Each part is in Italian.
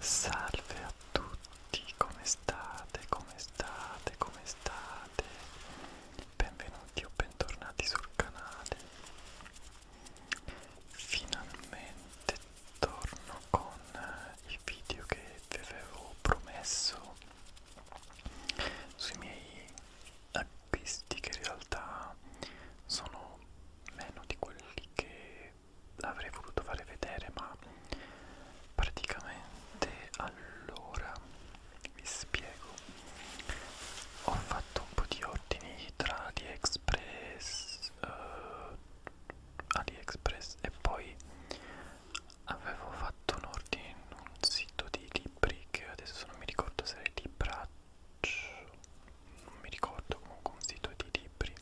Salve a tutti, come state? Come state? Come state? Benvenuti o bentornati sul canale. Finalmente torno con i video che vi avevo promesso sui miei acquisti che in realtà sono meno di quelli che che avrei voluto fare vedere ma praticamente allora vi spiego ho fatto un po' di ordini tra AliExpress uh, AliExpress e poi avevo fatto un ordine in un sito di libri che adesso non mi ricordo se era Libraccio non mi ricordo comunque un sito di libri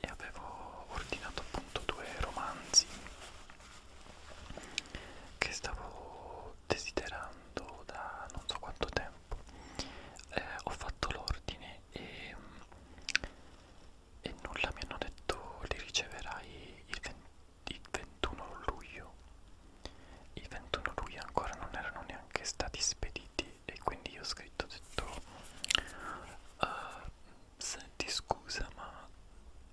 e avevo ordinato appunto due romanzi che stavo desiderando da non so quanto tempo eh, ho fatto l'ordine e, e nulla mi hanno detto li riceverai il, 20, il 21 luglio il 21 luglio ancora non erano neanche stati spediti e quindi io ho scritto ho detto uh, senti scusa ma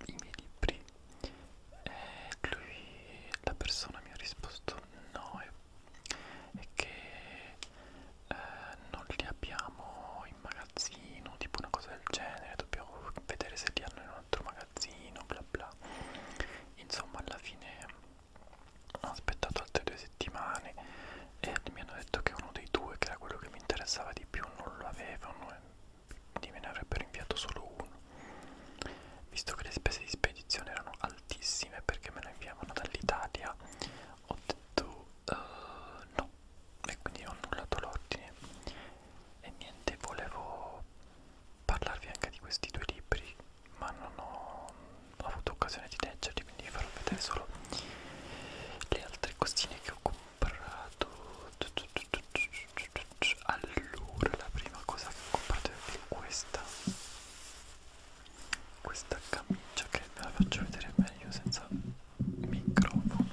i miei libri e eh, lui la persona mi ha risposto no è, è che eh, non li abbiamo in magazzino tipo una cosa del genere dobbiamo vedere se li hanno in un altro magazzino bla bla insomma alla fine ho aspettato altre due settimane e mi hanno detto che uno dei due, che era quello che mi interessava di più, non lo avevano e quindi me ne avrebbero inviato solo uno. Visto che le spese di spedizione erano altissime perché me lo inviavano dall'Italia, ho detto uh, no e quindi ho annullato l'ordine. E niente, volevo parlarvi anche di questi due libri ma non ho avuto occasione di leggerli quindi vi farò vedere solo le altre costine che ho comprato allora la prima cosa che ho comprato è questa questa camicia che ve la faccio vedere meglio senza microfono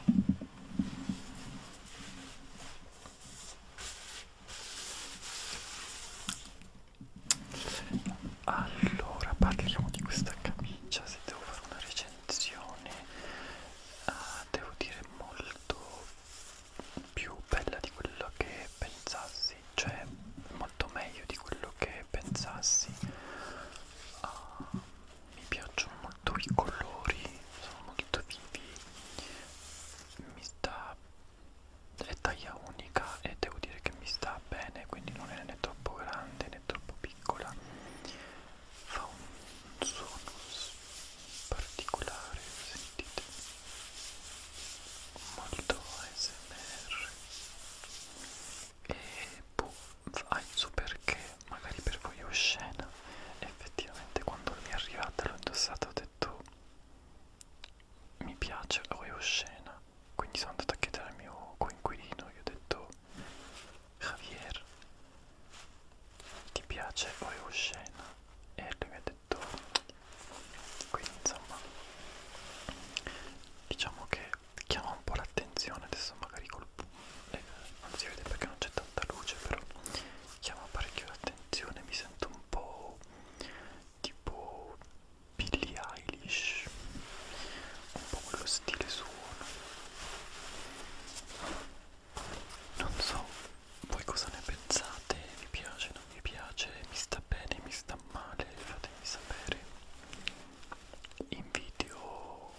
allora parliamo di questa camicia se devo fare una recensione uh, devo dire molto più bella di quello che pensassi cioè molto meglio di quello che pensassi uh, mi piacciono molto i colori sono molto vivi mi sta è taglia unica e devo dire che mi sta bene quindi non è né troppo grande né troppo piccola fa un suono particolare sentite molto ASMR e boh so perché magari per voi è oscena effettivamente quando mi è arrivata l'ho indossata ho detto mi piace o è oscena quindi sono andato a chiedere al mio coinquilino, gli ho detto Javier, ti piace o è oscena? E lui mi ha detto quindi insomma diciamo che chiama un po' l'attenzione adesso magari col eh, non si vede perché non c'è tanta luce però chiama parecchio l'attenzione mi sento un po' tipo Billie Eilish un po' quello stile suono non so voi cosa ne pensate vi piace non vi piace mi sta bene mi sta male fatemi sapere in video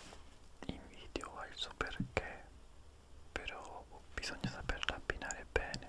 in video al suo perché però bisogna saperla abbinare bene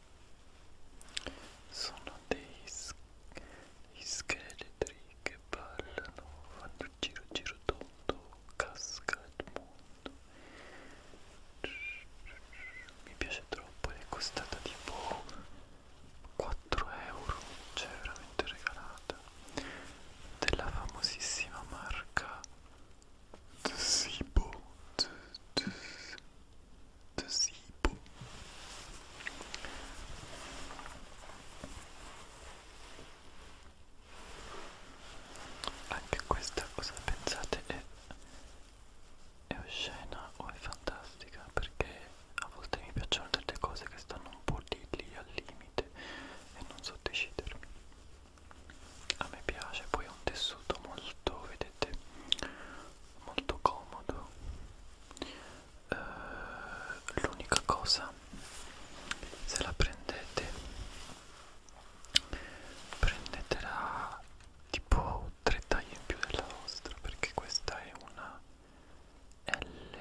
sono dei, dei scheletri che ballano, fanno giro giro tondo, casca il mondo mi piace troppo ed è costata tipo 4 euro cioè veramente regalata della famosissima marca Zibo, Zibo. Anche questa cosa pensate è, è oscena o è fantastica perché a volte mi piacciono delle cose che stanno un po' lì lì al limite e non so decidermi a me piace poi è un tessuto molto vedete molto comodo eh, l'unica cosa se la prendete prendetela tipo tre taglie in più della vostra perché questa è una L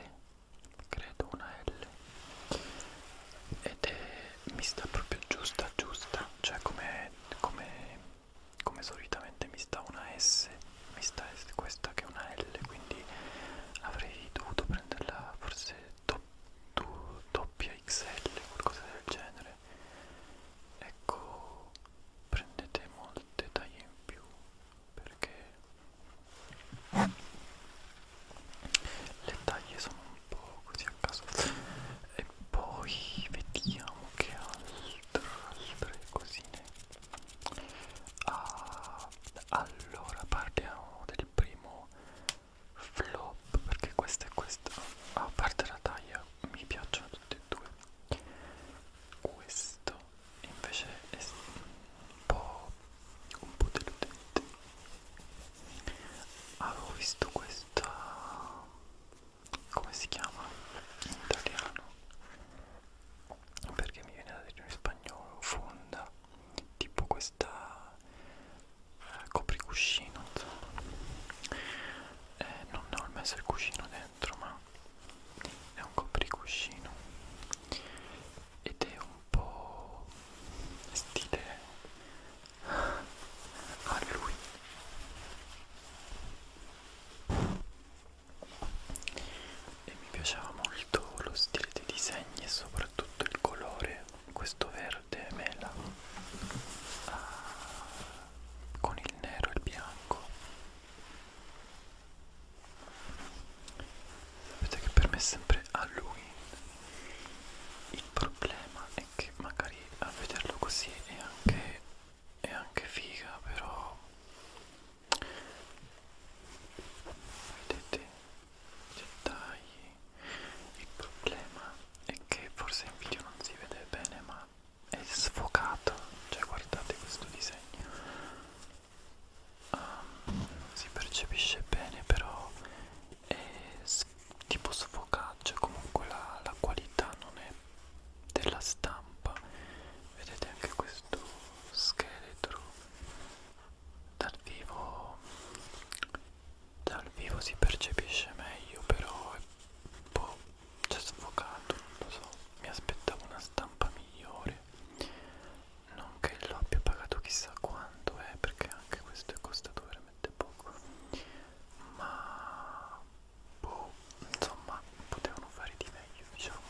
credo una L ed è mi sta proprio giusta giusta cioè come come, come, come solitamente mi sta una S, mi sta questa che è una L, quindi avrei dovuto prenderla forse do, do, doppia XL, qualcosa del genere. Ecco, prendete molte taglie in più perché le taglie sono un po' così a caso e poi vediamo che altro altre cosine ah, allora parliamo del primo flop perché questo e questo ah, a parte la taglia mi piacciono tutti e due questo invece è un po' un po' deludente avevo visto questa come si chiama in italiano perché mi viene da dire in spagnolo fonda tipo questa eh, copricuscino insomma eh, non ho messo il cuscino dentro ma è un copricuscino ed è un po' stile a lui e mi piaceva molto lo stile dei disegni e soprattutto il colore questo verde mela ah, con il nero e il bianco sapete che per me è sempre Halloween il problema è è che magari a vederlo così è anche, è anche figa, però vedete cioè, dettagli il problema è che forse in video non si vede bene ma è sfocato cioè guardate questo disegno um, ehm, non si percepisce bene però è sfocato tipo sfocaccia cioè comunque la, la qualità non è della stampa vedete anche questo scheletro dal vivo dal vivo si percepisce meglio però è un boh, po' cioè, sfocato non lo so mi aspettavo una stampa migliore non che l'abbia pagato chissà quanto è eh, perché anche questo è costato veramente veramente poco ma boh, insomma potevano fare di meglio diciamo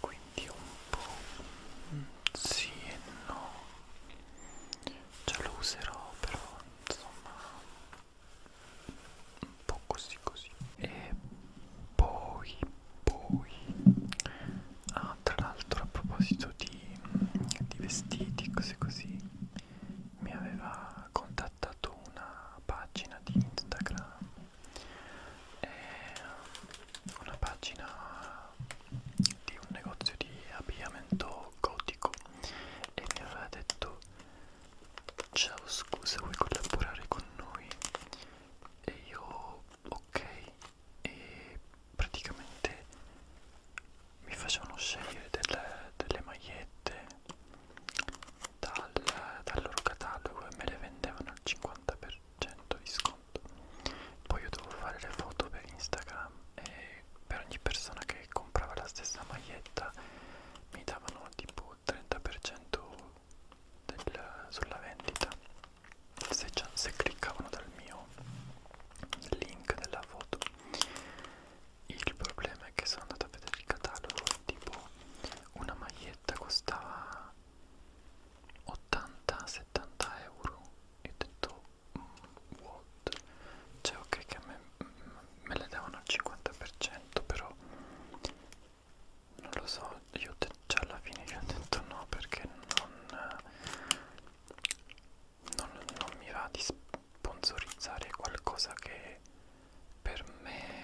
quindi un po' sì e no ce lo userò però insomma un po' così così e poi poi ah no, tra l'altro a proposito di, di vestiti, cose così, mi aveva contattato una pagina di Instagram, eh, una pagina di un negozio di abbigliamento gotico e mi aveva detto ciao scusa vuoi collaborare con noi? E io ok e praticamente mi facevano scegliere delle, delle magliette dal, dal loro catalogo e me le vendevano al 50% di sconto poi io dovevo fare le foto per Instagram e per ogni persona che comprava la stessa maglietta mi davano tipo 30% del, sulla vendita se, se cliccavano dal mio link della foto il problema è che sono andato a vedere il catalogo tipo una maglietta costava 80-70 euro e ho detto mm, what cioè ok che me, mm, me le davano al 50% però non lo so io già cioè, alla fine gli ho detto no perché non non, non mi va di sponsorizzare qualcosa che per me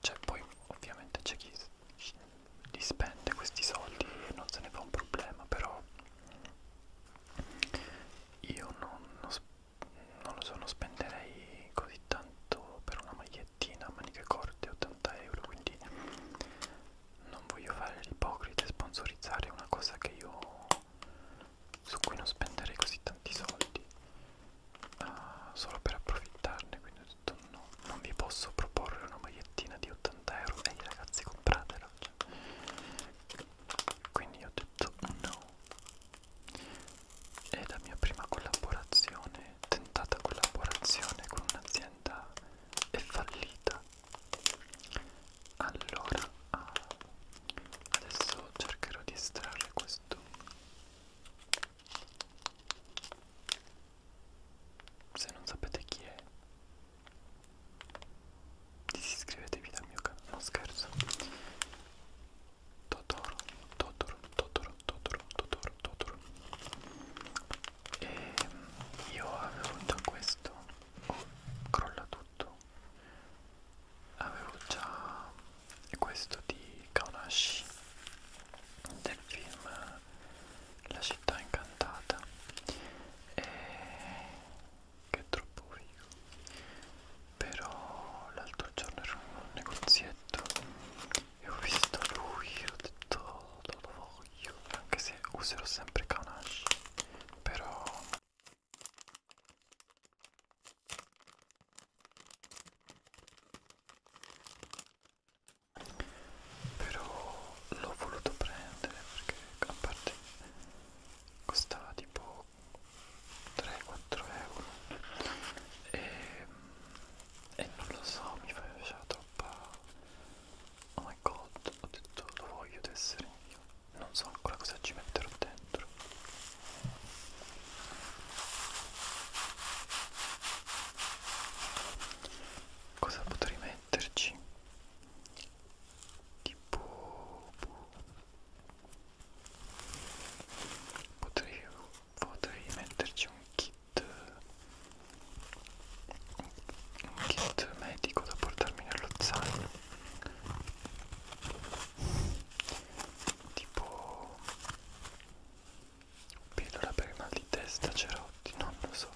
cioè poi ovviamente c'è chi li spende questi soldi e non se ne fa un problema però io non, non, non lo so non spenderei così tanto per una magliettina a maniche corte 80 euro quindi non voglio fare l'ipocrita e sponsorizzare una cosa che io su cui non spenderei così tanti soldi uh, solo per approfittarne quindi ho detto no non vi posso proporre una magliettina di 80 euro ehi ragazzi compratela cioè. quindi ho detto no è la mia prima collaborazione tentata collaborazione con un'azienda è fallita allora ah, adesso cercherò di estrarre questo se non sapete chi è disiscrivetevi dal mio canale no scherzo Totoro Totoro Totoro Totoro Totoro Totoro e ehm, io avevo già questo oh, crolla tutto avevo già questo di Kaunashi del film La città incantata e che è troppo figo però l'altro giorno ero in un negozietto e ho visto lui ho detto lo voglio anche se userò sempre Kanashi però però l'ho voluto prendere perché a parte costava tipo 3-4 euro e, e non lo so mi faceva troppa Oh my god, ho detto lo voglio ad essere io. Non so ancora cosa ci metterò dentro. Cosa potrei metterci? Tipo... Boh. Potrei, potrei metterci un kit kit un kit medico da portarmi nello zaino tipo pillola per il mal di testa cerotti non lo so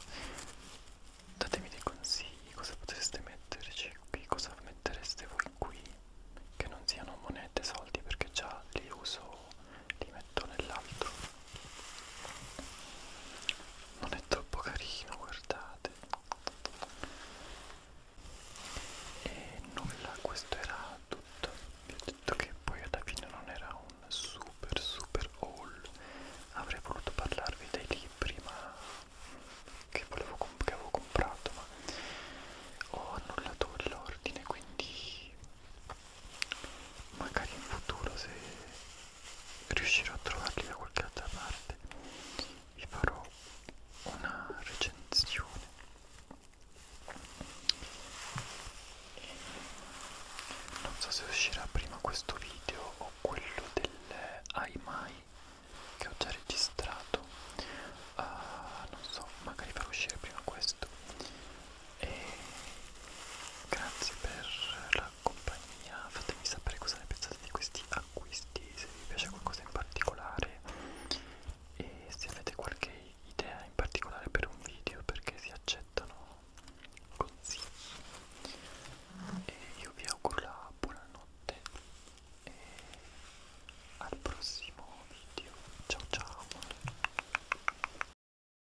datemi dei consigli cosa potreste metterci cioè, qui cosa mettereste voi qui che non siano monete soldi perché già li uso li metto nell'altro non è troppo carino guardate e nulla questo era tutto vi ho detto che poi alla fine non era un super super haul avrei voluto parlarvi dei libri ma che, volevo che avevo comprato ma ho annullato l'ordine quindi magari in futuro se riuscirò a trovarli da qualche altra parte vi farò una recensione non so se uscirà prima questo video o quello dell'Aimai che ho già registrato uh, non so magari farò uscire prima questo e grazie per la compagnia fatemi sapere cosa ne pensate di questi acquisti se vi piace qualcosa in particolare e se avete qualche idea in particolare per un video perché si accettano consigli e io vi auguro la buonanotte e al prossimo video ciao ciao